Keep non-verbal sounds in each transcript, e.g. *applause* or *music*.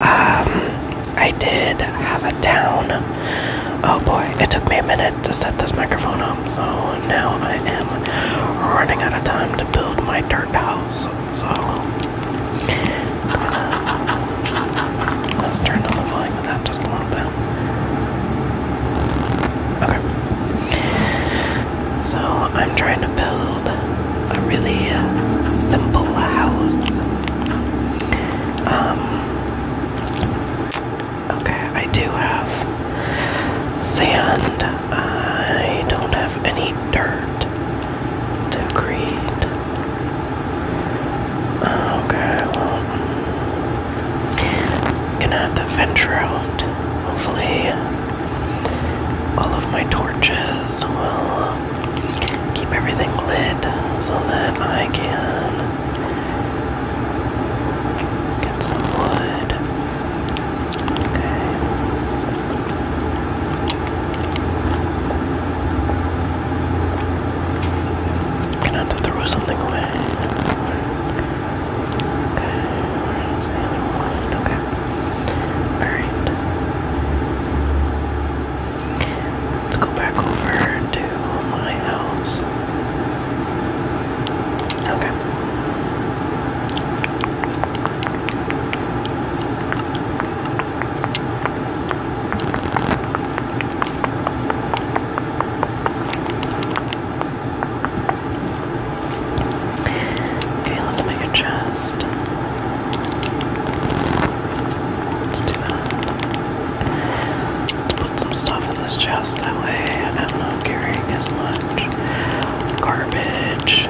Um, I did have a town. Oh boy, it took me a minute to set this microphone up, so now I am running out of time to build my dirt house. So uh, let's turn down the volume of that just a little bit. Okay. So I'm trying to build a really simple house. Um, okay, I do have sand. I don't have any dirt to create. Okay, well, gonna have to venture out. Hopefully, all of my torches will keep everything lit so that I can get some wood. Okay. gonna have to throw something away. Okay. Alright. Let's go back over to my house. Okay. Okay, let's make a chest. Let's do that. Let's put some stuff in this chest that way I'm not carrying as much garbage.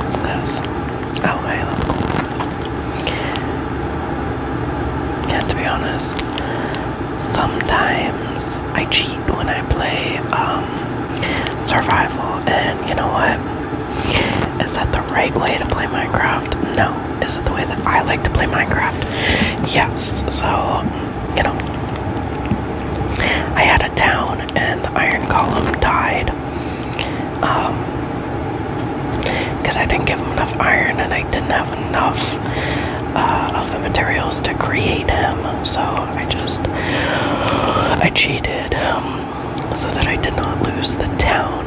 What's this? Oh, hey, yeah, to be honest, sometimes I cheat when I play um, survival, and you know what? Is that the right way to play Minecraft? No. Is it the way that I like to play Minecraft? Yes. So, you know, I had a town, and the Iron Column died. Um, because I didn't give him enough iron and I didn't have enough uh, of the materials to create him. So I just I cheated um, so that I did not lose the town.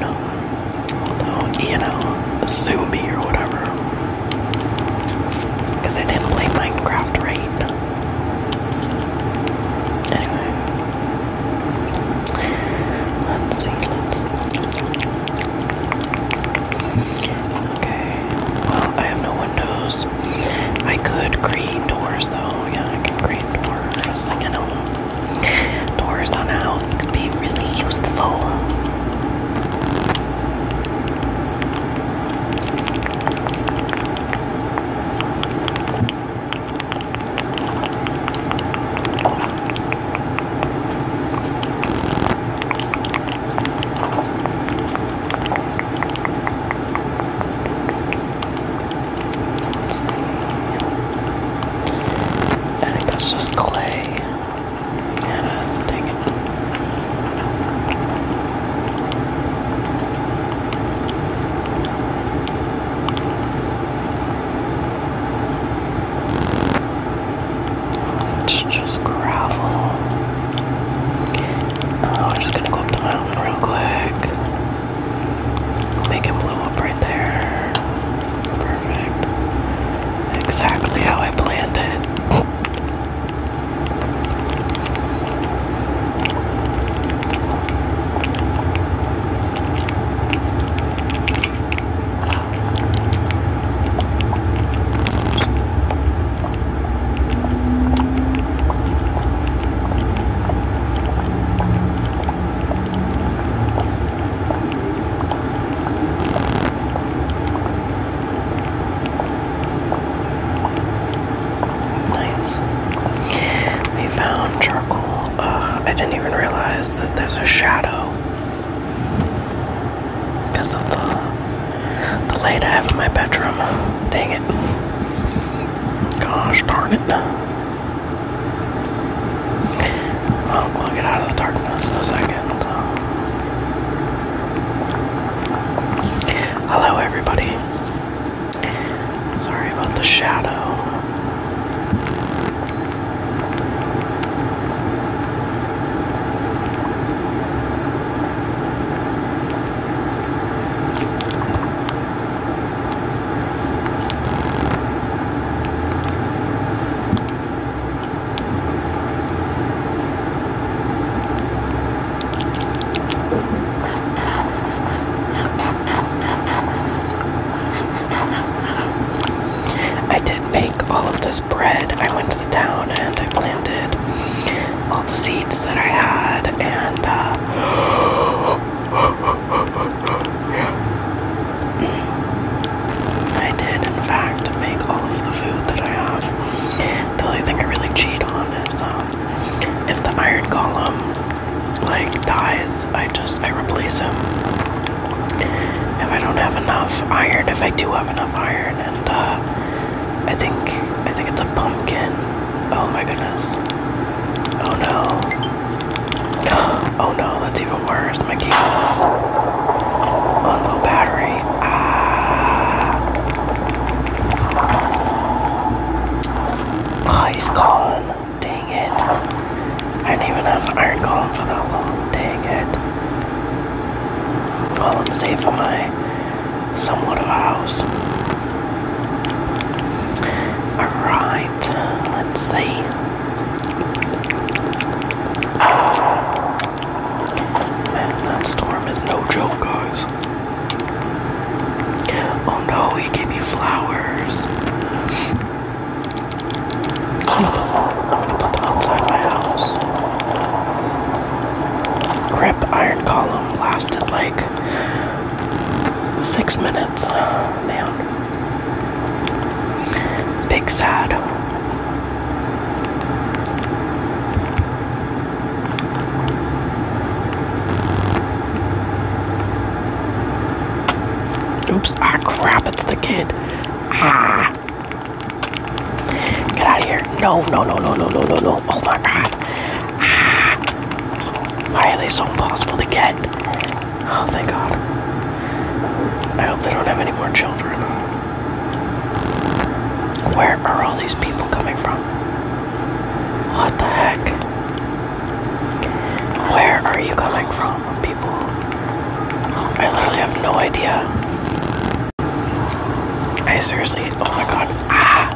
So you know, sue me or whatever. Because I didn't play Minecraft right. Anyway, let's see. Let's Okay. Well, I have no windows. I could create doors though. Yeah, I can create doors. Like, know, doors on a house could be really useful. I think that's just clay. Yeah, just gravel. Oh, i just gonna go up the mountain real quick. Make it blow up right there. Perfect. Exactly how I planned it. Nice. We found charcoal. Ugh, I didn't even realize that there's a shadow because of the, light I have in my bedroom. Dang it. Gosh darn it. Well, we'll get out of the darkness in a second. Hello, everybody. Sorry about the shadow. I did bake all of this bread. I went to the town and I planted all the seeds that I had, and yeah. Uh, *gasps* I did, in fact, make all of the food that I have. The only thing I really cheat on is um, if the iron column like dies, I just I replace him if I don't have enough iron, if I do have enough iron, and uh, I think I think it's a pumpkin. Oh my goodness! Oh no! *gasps* Oh no! That's even worse. My cables on low battery. Ah! Oh, he Dang. I didn't even have Iron Column for that long. Dang it. Well, I'm safe on my somewhat of a house. Alright, let's see. Man, that storm is no joke, guys. Oh no, he gave me flowers. I'm gonna put them outside my house. Rip Iron Column lasted like six minutes. Oh, man. Big sad. Oops, ah crap, it's the kid. Get out of here. No, no, no, no, no, no, no, no. Oh my god. Ah. Why are they so impossible to get? Oh, thank god. I hope they don't have any more children. Where are all these people coming from? What the heck? Where are you coming from? people. I literally have no idea. I seriously, oh my god, ah!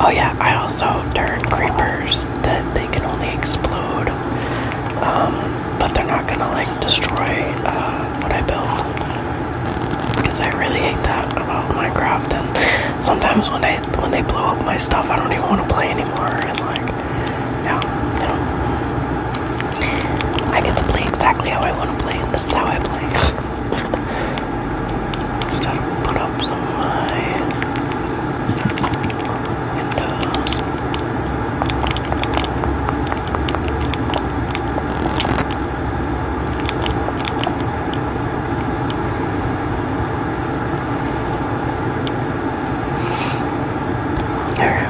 Oh yeah, I also turn creepers that they can only explode, um, but they're not gonna like destroy uh, what I built. Because I really hate that about Minecraft, and sometimes when they when they blow up my stuff, I don't even want to play anymore, and like. Now, you I get to play exactly how I want to play, and this is how I play. Let's try to put up some of my windows. Alright, let's see.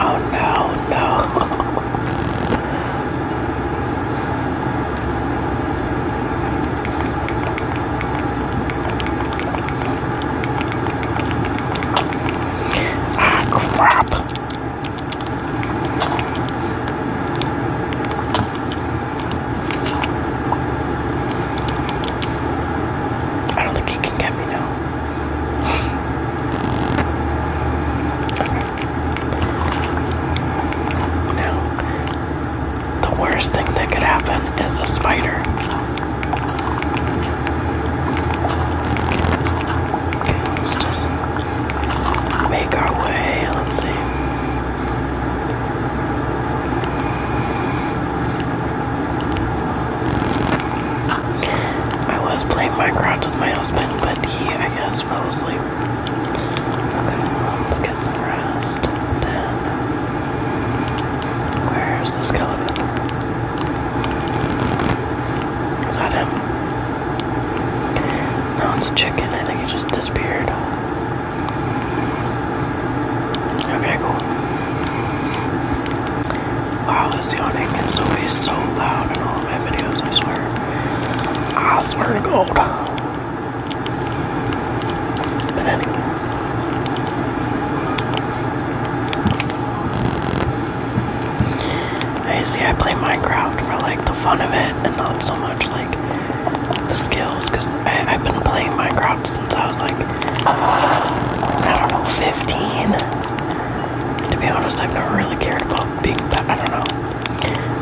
Oh no, no. *laughs* Ah, crap. I don't think he can get me now. *laughs* Now, the worst thing that could happen as a spider. let's just make our way. Let's see. I was playing Minecraft with my husband, but he, I guess, fell asleep. let's get the rest. Then, where's the skeleton? Is that him? No, it's a chicken. I think it just disappeared. Okay, cool. Wow, this yawning is always so loud in all my videos, I swear. I swear to God. But anyway. I see I play Minecraft for like the fun of it and not so much like the skills because I've been playing Minecraft since I was like, I don't know, 15. To be honest, I've never really cared about being I don't know.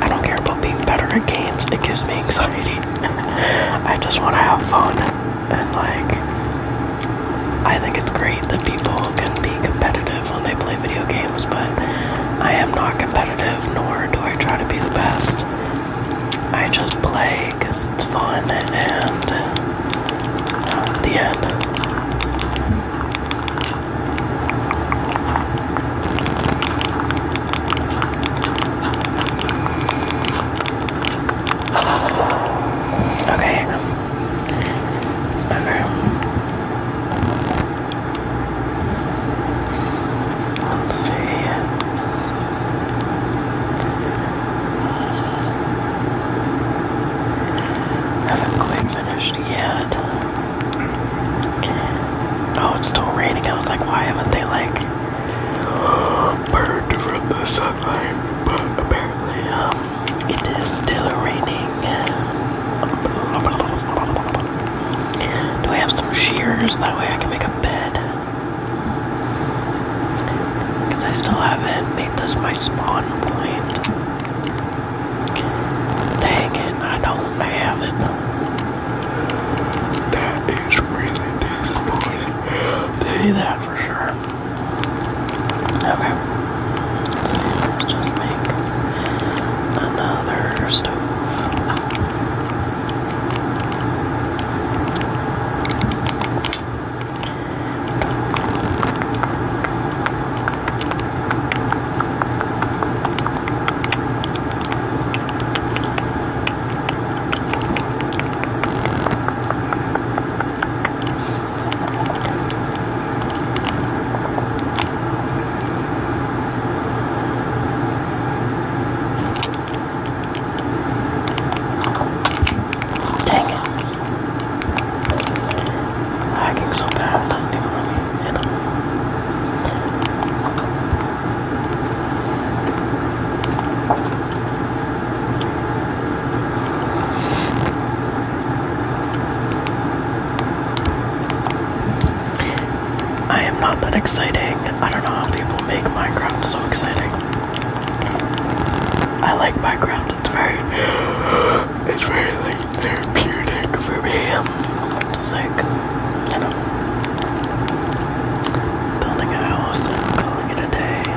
I don't care about being better at games, it gives me anxiety. *laughs* I just want to have fun. And like, I think it's great that people can be competitive when they play video games, but I am not competitive, nor do I try to be the best. I just play because it's fun and uh, the end. Okay. Okay. Let's see. Haven't quite finished yet. Oh, it's still raining. I was like, why haven't they like *gasps* burned from the sunlight? But apparently it is still raining. Do I have some shears? That way I can make a bed. Because I still haven't made this my spawn point. Dang it, I don't have it. That is really disappointing. Tell that for sure. Okay. Let's just make another stove. Dang it. Hacking so bad, I didn't even really hit him. I am not that exciting. I don't know how people make Minecraft so exciting. I like Minecraft. It's very, *gasps* it's very therapeutic for me. It's like, you know, building a house calling it a day.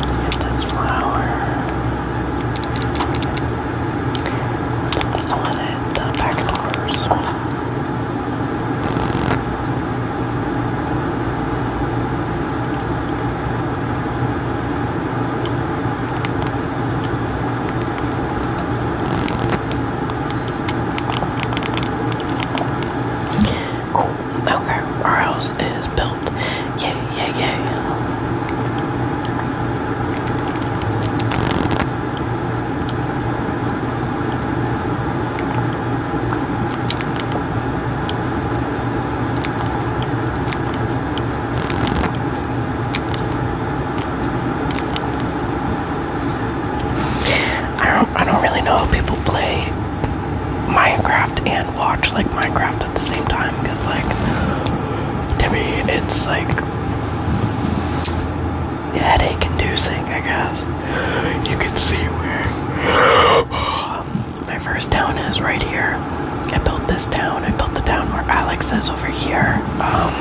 Let's get this flour. Put this all in it, the packet doors. Okay. Cool. Okay. Our house is built. Yay, yay, yay. I don't I don't really know if people play Minecraft and watch like Minecraft at the same time because like to me it's like headache inducing I guess. You can see where *gasps* my first town is right here. I built this town. I built the town where Alex is over here. Um,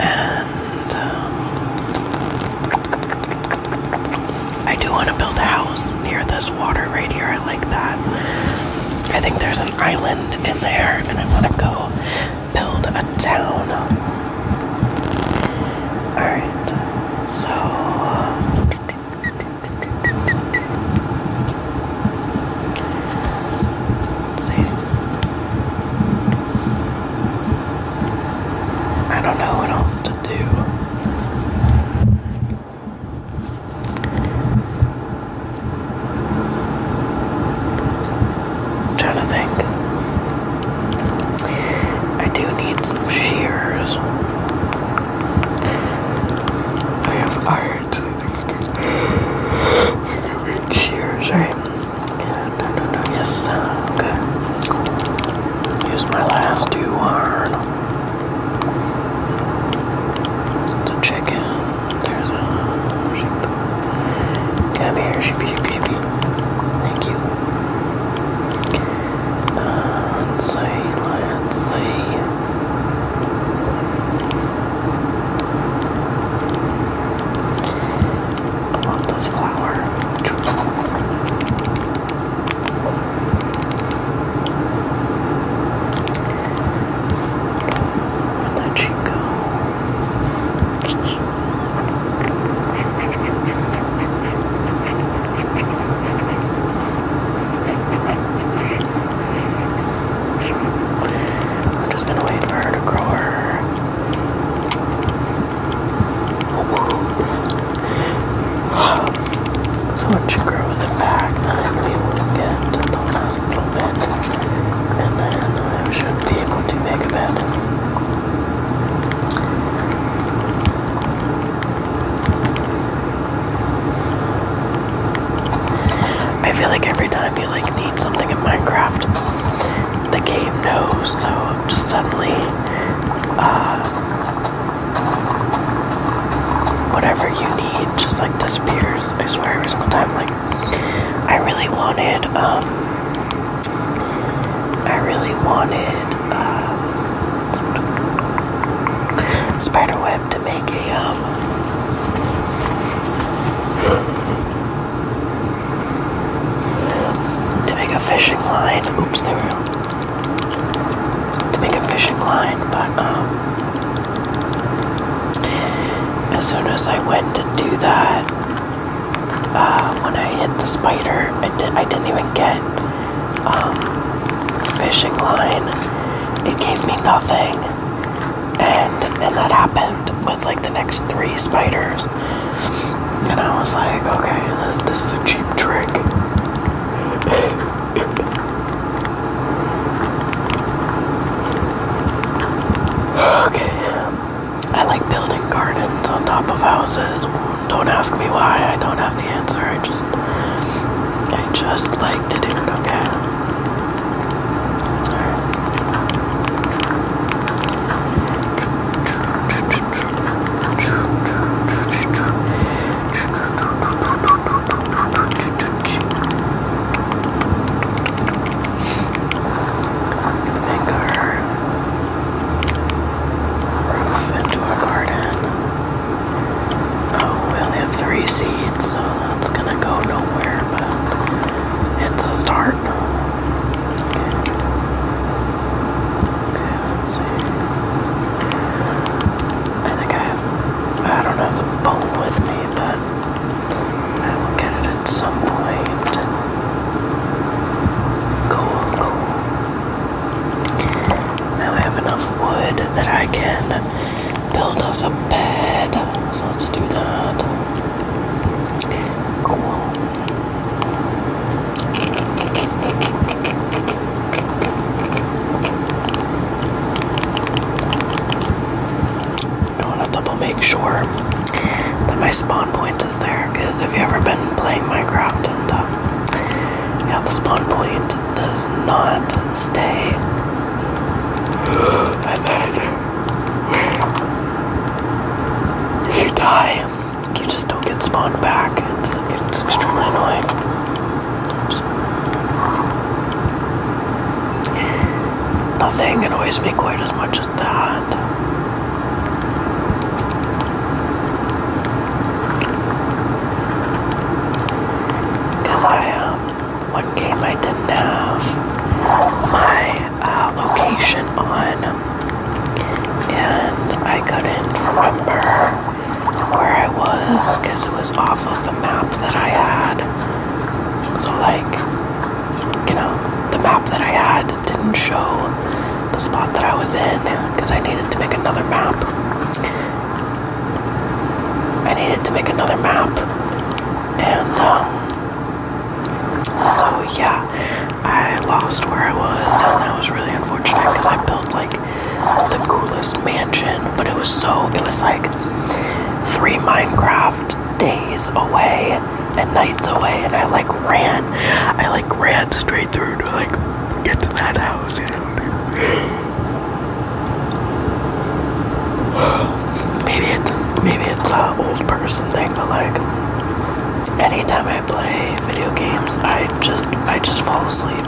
and um, I do want to build a house near this water right here. I like that. I think there's an island in there, and I want to go build a town. Alright, so. See? I don't know what else to do. i trying to think. I do need some shears. I have iron cheers, right? Yeah, no, no, no, yes, uh, okay. Use my last two iron. chicken. There's a sheep. Can here? Sheepy, sheepy, sheepy. Thank you. Uh, let's see, I love this flower. Where'd that sheep go? I'm just gonna wait for her to grow her. So when she grows it back, then will get to the last little bit, and then I should be able to make a bed. I feel like every time you like need something in Minecraft, the game knows, so just suddenly, uh, whatever you need just like disappears. I swear every single time. Like, I really wanted, um, I really wanted, uh, spiderweb to make a to make a fishing line. Oops, there To make a fishing line, but um, as soon as I went to do that, uh, when I hit the spider, I did. not even get um, fishing line. It gave me nothing. And and that happened with like the next three spiders. And I was like, okay, this, is a cheap trick. okay. I like building gardens on top of houses. Don't ask me why, I don't have the answer. I just I just liked it. It looked okay. Make our roof into a garden. Oh, we only have three seeds, so that's gonna go nowhere, but it's a start. Okay. let's see. I think I have, I don't have the bone with me, but I will get it at some point. Cool, cool. Now I have enough wood that I can build us a bed. So let's do that. Cool. I want to double make sure that my spawn point is there because if you ever been playing Minecraft and uh, yeah, the spawn point does not stay I think you die, you just don't get spawned back. It's extremely annoying. Oops. Nothing annoys me quite as much as that. Cause I am one game I didn't have my uh, location on, and I couldn't remember where I was because it was off of the map that I had. So, like, you know, the map that I had didn't show the spot that I was in because I needed to make another map. I needed to make another map, and um, so yeah, I lost where I was, and that was really unfortunate because I built like the coolest mansion, but it was so it was like three Minecraft days away and nights away, and I like ran, I like ran straight through to like get to that house, *sighs* maybe it's maybe it's a old person thing, but like anytime I play video games, I just I just fall asleep.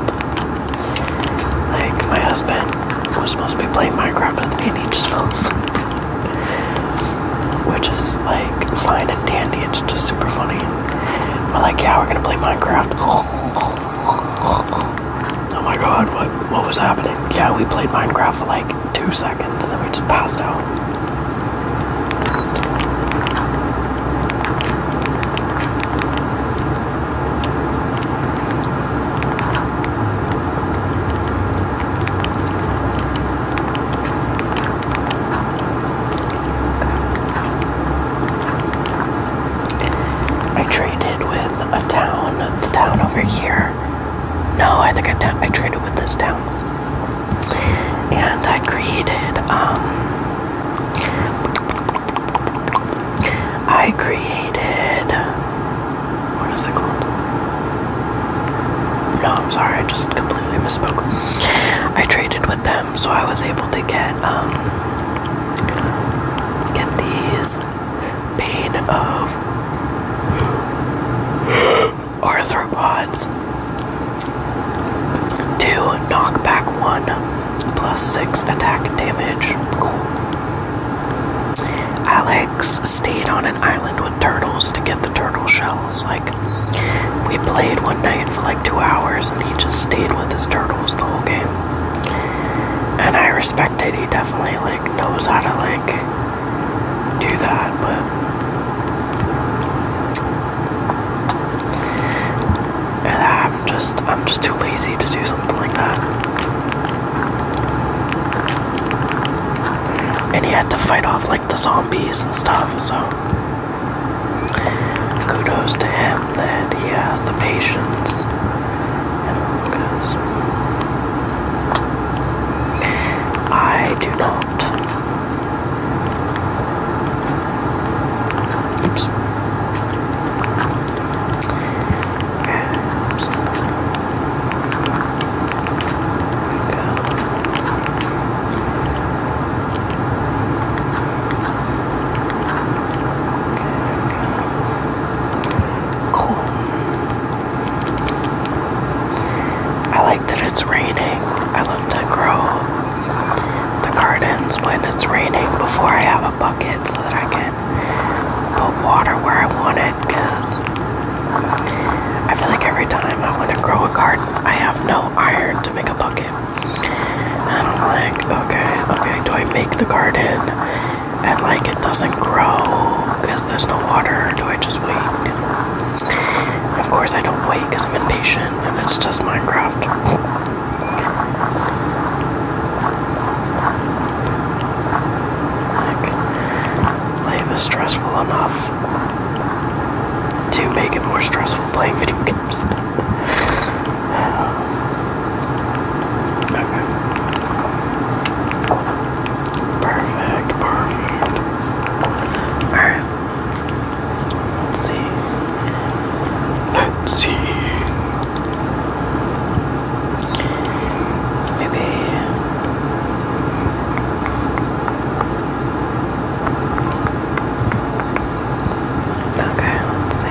Like my husband was supposed to be playing Minecraft and he just *laughs* falls asleep, which is like fine and dandy. It's just super funny. But like, yeah, we're gonna play Minecraft. *laughs* Oh my god, what, what was happening? Yeah, we played Minecraft for like two seconds and then we just passed out. I traded with a town, the town over here. No, I think I, I traded with this town. And I created, um, I created, what is it called? No, I'm sorry, I just completely misspoke. I traded with them, so I was able to get, um, get these pain of arthropods. to knock back one, plus six attack damage. Alex stayed on an island with turtles to get the turtle shells. Like, we played one night for like two hours and he just stayed with his turtles the whole game. And I respect expected. definitely like knows how to like do that, but and I'm just I'm just too lazy to do something like that. And he had to fight off like the zombies and stuff, so kudos to him that he has the patience and focus. I do not. Oops. Oops. Okay. Cool. I like that it's raining. I love to grow the gardens when it's raining before I have a bucket so that I can put water where I want it because I feel like every time I want to grow a garden, I have no iron to make a bucket. And I'm like, okay, okay, do I make the garden? and like it doesn't grow because there's no water. Do I just wait? Of course, I don't wait because I'm impatient and it's just Minecraft. life is stressful enough to make it more stressful playing video games. Perfect, perfect. Alright. Let's see. Let's see. Maybe Okay, let's see.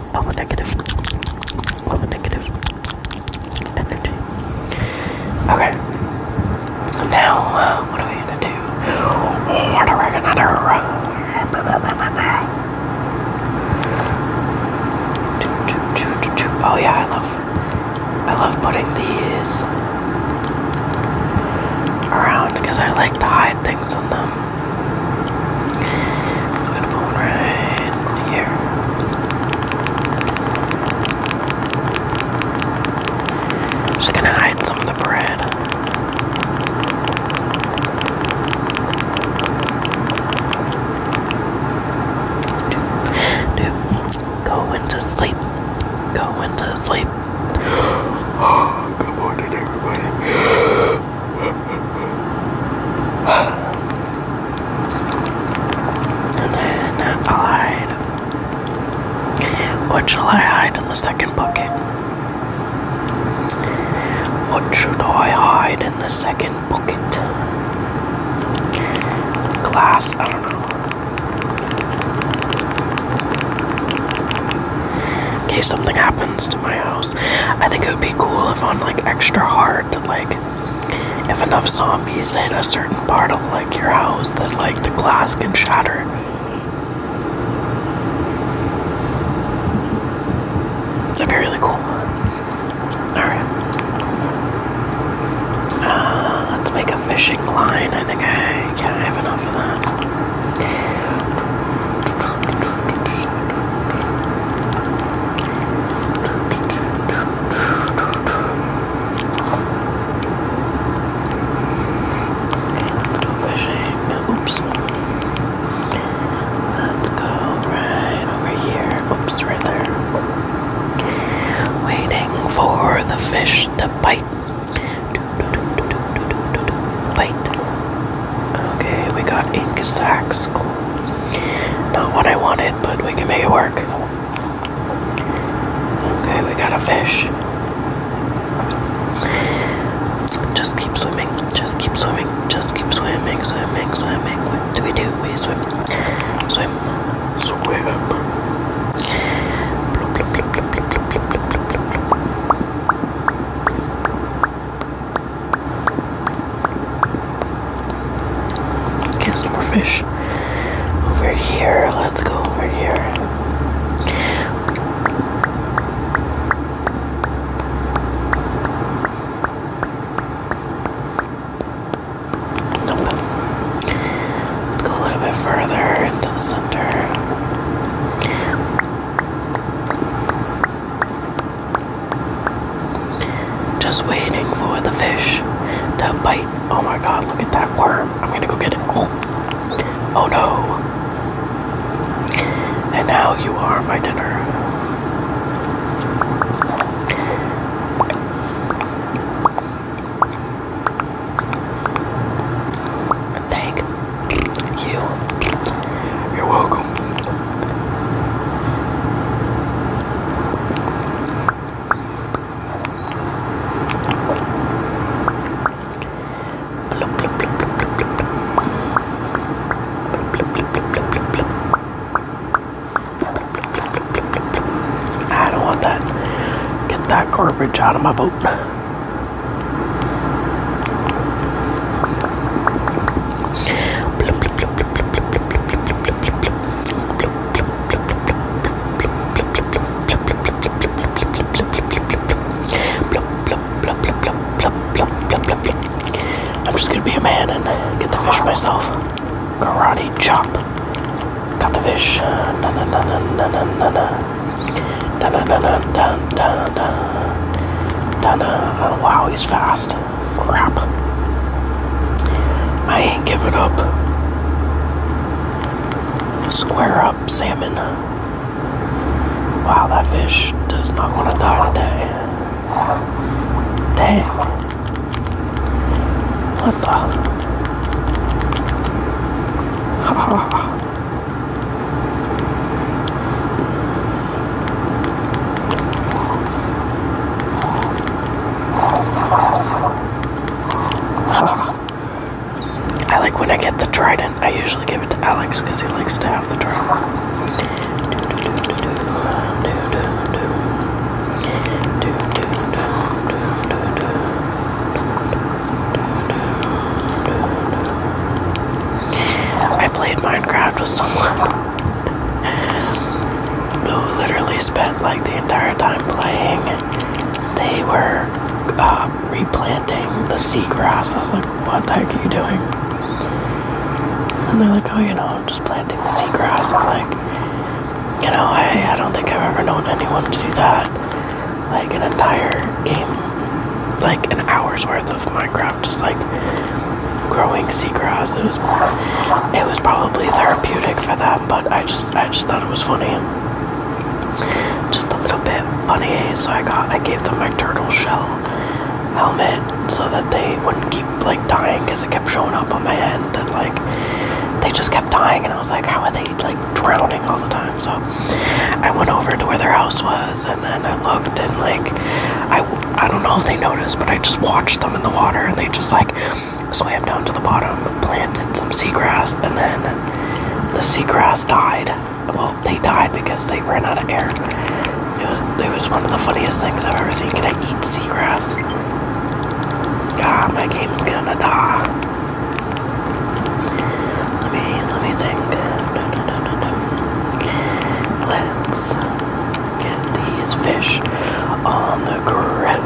all the negative, all the negative energy. Okay. Now, what are we gonna do? What are we gonna do? Oh yeah, I love, I love putting these around because I like to hide things on them just gonna hide some of the bread. Dude, go into sleep. Go into sleep. *gasps* good morning, everybody. *gasps* *gasps* And then i hide. What shall I hide in the second bucket? What should I hide in the second bucket? Glass, I don't know. In case something happens to my house. I think it would be cool if on like extra hard, like if enough zombies hit a certain part of like your house, that like the glass can shatter. That'd be really cool. Alright. Uh, let's make a fishing line. I think I can't have enough of that let's go fishing. Oops. Let's go right over here. Oops, right there. Waiting for the fish to bite. Bite. Okay, we got ink sacks is cool. Not what I wanted, but we can make it work. Okay, we got a fish. Just keep swimming, just keep swimming, just keep swimming, swimming, swimming. What do we do? We swim, swim, swim. Bloop, bloop, bloop, bloop, bloop, bloop, bloop, bloop, bloop. Okay, some more fish. Over here, let's go over here. go a little bit further into the center. Just waiting for the fish to bite. Oh my god, look at that worm. I'm gonna go get it. Oh, oh no. And now you are my dinner. Thank you. You're welcome. I don't want that. Get that garbage out of my boat. Bloop, bloop. I'm just gonna be a man and get the fish myself. Karate chop. Got the fish. Wow, he's fast. Crap. I ain't giving up. Square up salmon. Wow, that fish does not want to die today. Dang. What the? Ha *laughs* I like when I get the trident, I usually give it to Alex because he likes to have the trident. I played Minecraft with someone who literally spent like the entire time playing. They were uh, replanting the seagrass. I was like, what the heck are you doing? And they're like, oh, you know, I'm just planting the seagrass. I'm like, you know, I don't think I've ever known anyone to do that. Like an entire game, like an hour's worth of Minecraft, just like growing seagrass. It was it was probably therapeutic for them, but I just I just thought it was funny. Just a little bit funny, so I got I gave them my turtle shell helmet so that they wouldn't keep like dying because it kept showing up on my end, and like they just kept dying and I was like, how are they like drowning all the time? So I went over to where their house was and then I looked and like I I don't know if they noticed, but I just watched them in the water and they just like swam down to the bottom, planted some seagrass, and then the seagrass died. Well, they died because they ran out of air. It was it was one of the funniest things I've ever seen. Can I eat seagrass? Ah, my game's gonna die. Let me let me think. Let's get these fish on the grill.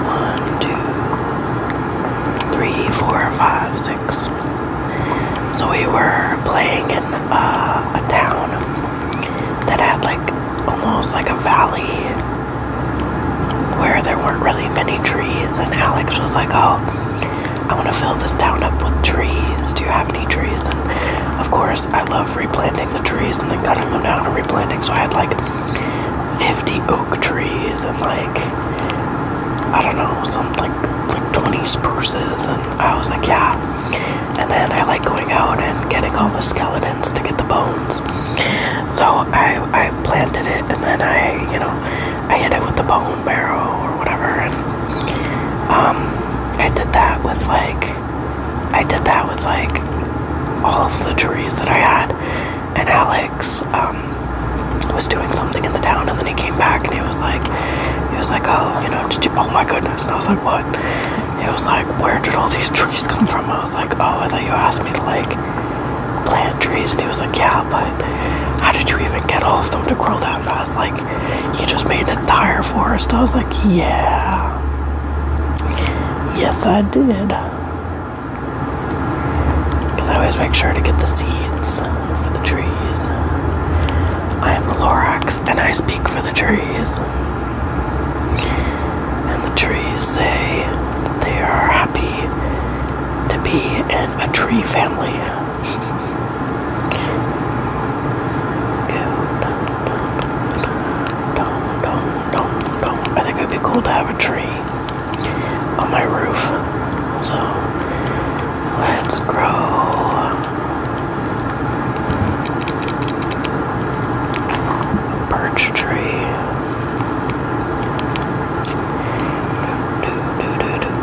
One, two, three, four, five, five. One, two, three, four, five, six. So we were playing in uh, a town that had like almost like a valley where there weren't really many trees, and Alex was like, "Oh." I want to fill this town up with trees. Do you have any trees? And of course, I love replanting the trees and then cutting them down and replanting. So I had like 50 oak trees and like, I don't know, some like, like 20 spruces. And I was like, yeah. And then I like going out and getting all the skeletons to get the bones. So I, I planted it and then I, you know, I hit it with the bow and or whatever, and um, I did that with like I did that with like all of the trees that I had, and Alex um, was doing something in the town, and then he came back and he was like, he was like, oh, you know, did you? Oh my goodness! And I was like, what? He was like, where did all these trees come from? I was like, oh, I thought you asked me to like plant trees, and he was like, yeah but how did you even get all of them to grow that fast? Like, you just made an entire forest. I was like, yeah. Yes, I did. Because I always make sure to get the seeds for the trees. I am Lorax and I speak for the trees. And the trees say that they are happy to be in a tree family. I think it'd be cool to have a tree on my roof. So let's grow birch tree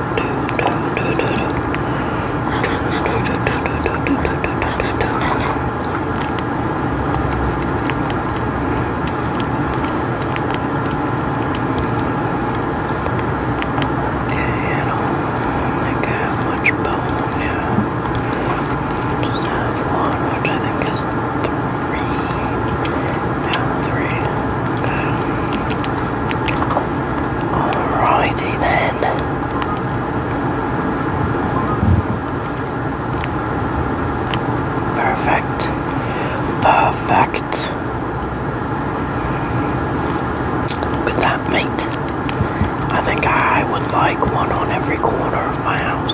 don't think I have much bone, yeah. Just have one, which I think is three. Yeah, three. Alrighty then. Perfect. Perfect. Look at that, mate. I think I would like one on every corner of my house.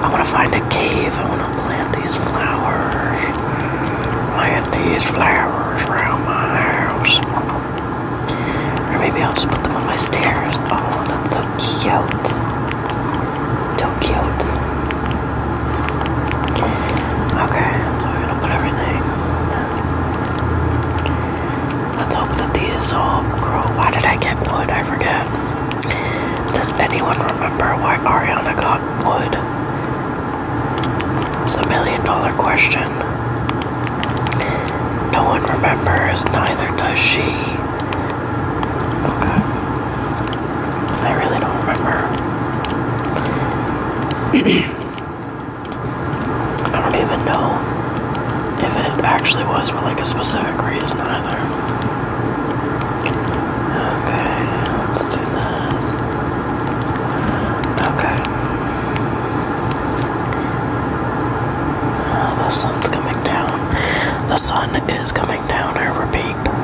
I want to find a cave. I want to plant these flowers. Plant these flowers around my house. Or maybe I'll just put them on my stairs. Oh, that's so cute. So cute. Okay, so we're gonna put everything. Let's hope that these all grow. Why did I get wood? I forget. Does anyone remember why Ariana got wood? It's a million dollar question. No one remembers, neither does she. Okay. I really don't remember. *clears throat* I don't even know if it actually was for like a specific reason either. Okay, let's do this. Okay. Uh, the sun's coming down. The sun is coming down, I repeat.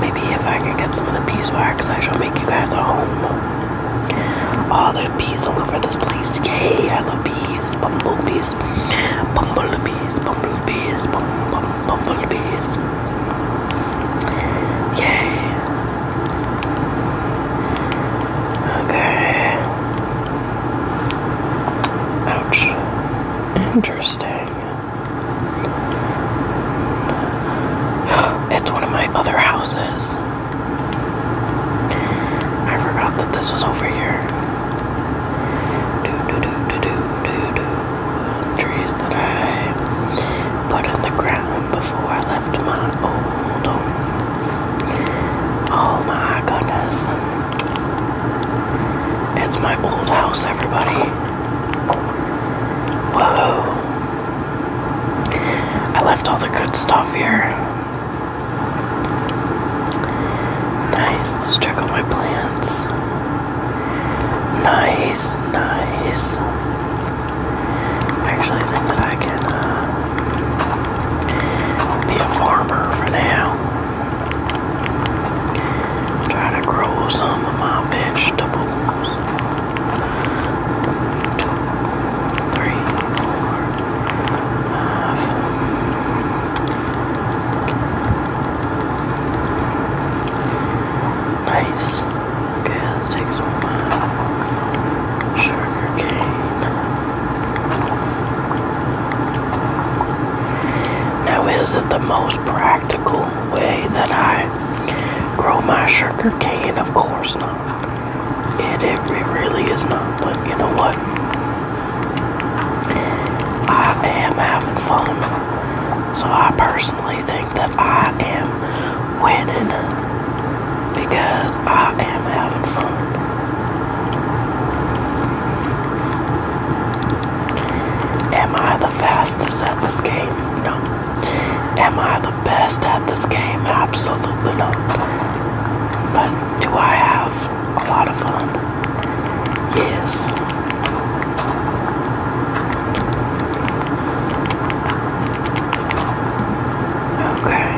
Maybe if I can get some of the bees wax, I shall make you guys a home. All oh, the bees all over this place. Yay, I love bees. Bumblebees. Bumblebees. Bumblebees. Bum, bumblebees. Yay. Okay. Ouch. Interesting. *sighs* It's one of my other houses. I forgot that this was over here. Trees that I put in the ground before I left my old Oh my goodness. It's my old house, everybody. Whoa. I left all the good stuff here. Nice, let's check out my plants. Nice, nice. I actually think that I can uh, be a farmer for now. Try to grow some of my vegetables three, four, five. Nice. Okay, let's take some sugar cane. Now, is it the most practical way that I grow my sugar cane? Of course not. It, it, really is not, but you know what? I am having fun. So I personally think that I am winning because I am having fun. Am I the fastest at this game? No. Am I the best at this game? Absolutely not. But do I have a lot of fun? Yes. Okay.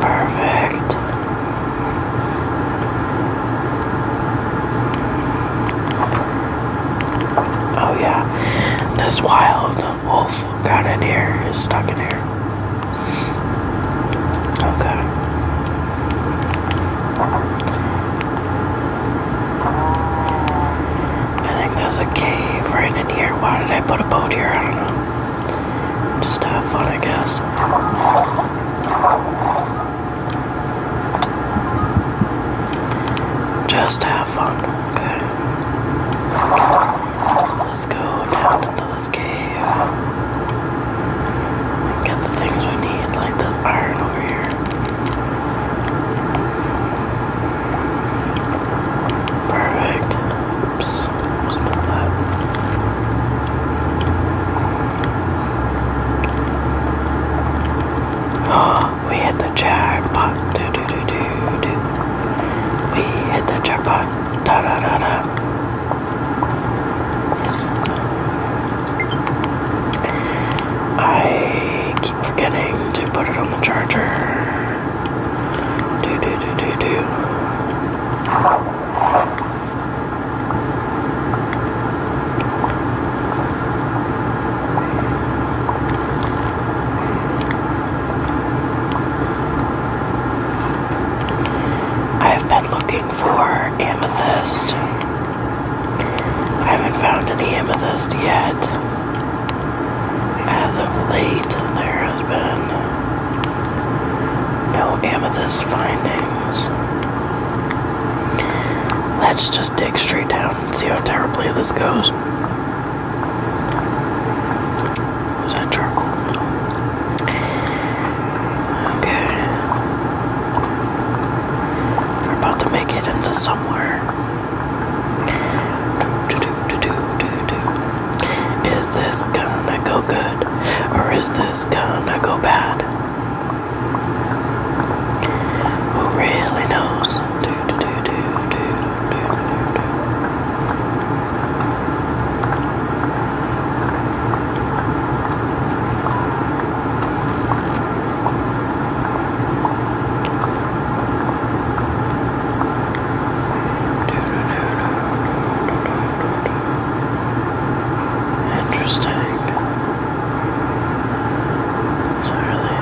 Perfect. Oh yeah, this wild wolf got in here, is stuck in here. Okay. I think there's a cave right in here. Why did I put a boat here? I don't know. Just have fun, I guess. Just have fun, okay? Let's go down into this cave. Get the things we need, like this iron over here. Perfect. Oops, I Oh, we hit the jackpot. Do do do do do. We hit the jackpot. Da da da da. Yes. I keep forgetting to put it on the charger. Do do do do do. I have been looking for amethyst. I haven't found any amethyst yet. As of late, there has been no amethyst findings. Let's just dig straight down and see how terribly this goes. Was that charcoal? Okay. We're about to make it into somewhere. Do, do, do, do, do, do. Is this gonna go good? Or is this gonna go bad? Who really knows? Interesting. It's not really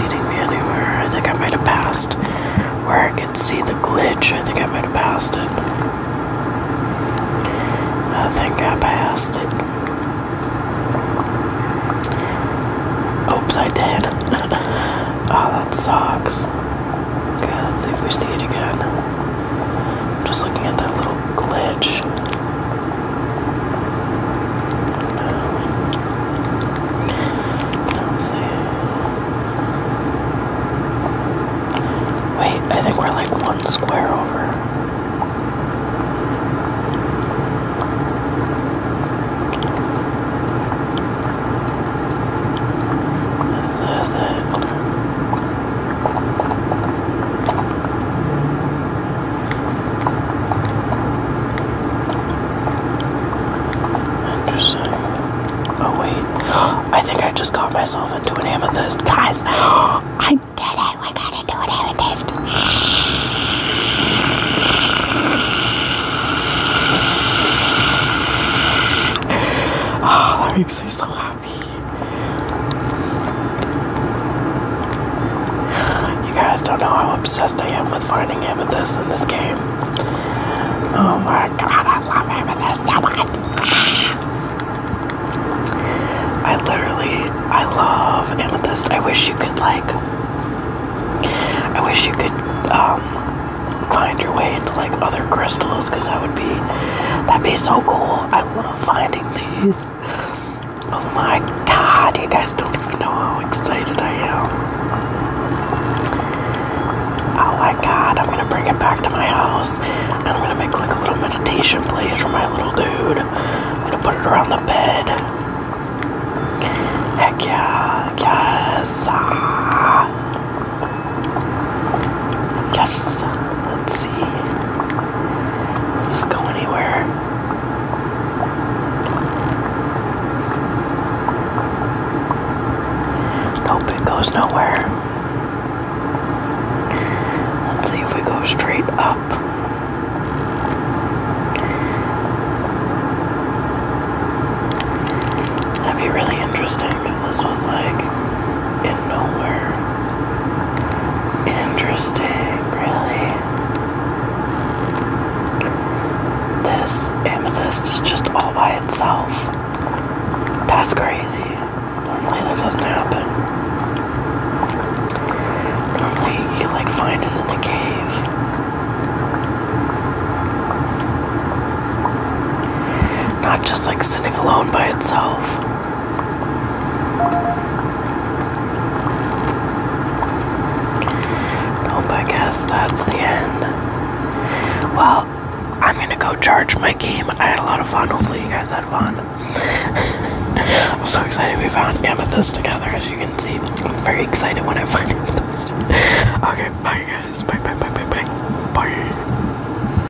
leading me anywhere. I think I might have passed where I could see the glitch. I think I might have passed it. I think I passed it. Oops, I did. oh, *laughs* that sucks. let's see if we see it again. Just looking at that little glitch. Um, see. Wait, I think we're like one square over. This is it. Interesting. Oh, wait. *gasps* I think I just got myself into an amethyst. Guys, *gasps* I did it. We got to do an amethyst. *sighs* Oh, me so you guys don't know how obsessed I am with finding amethyst in this game. Oh my god, I love amethyst so much. I literally, I love amethyst. I wish you could like, I wish you could um, find your way into like other crystals because that would be, that'd be so cool love finding these. Oh my god, you guys don't even know how excited I am. Oh my god, I'm gonna bring it back to my house and I'm gonna make like a little meditation place for my little dude. I'm gonna put it around the bed. Heck yeah, yes. Ah. Yes. Let's see. Does this go anywhere? Nope, it goes nowhere. Let's see if we go straight up. That'd be really interesting this was like in nowhere. Interesting, really. This amethyst is just all by itself. That's crazy. Normally that doesn't happen. Normally you like find it in the cave. Not just like sitting alone by itself. I guess that's the end. Well, I'm gonna go charge my game. I had a lot of fun. Hopefully, you guys had fun. *laughs* I'm so excited we found amethyst together, as you can see. I'm very excited when I find *laughs* amethyst. okay, bye, guys. Bye, bye, bye, bye, bye. Bye.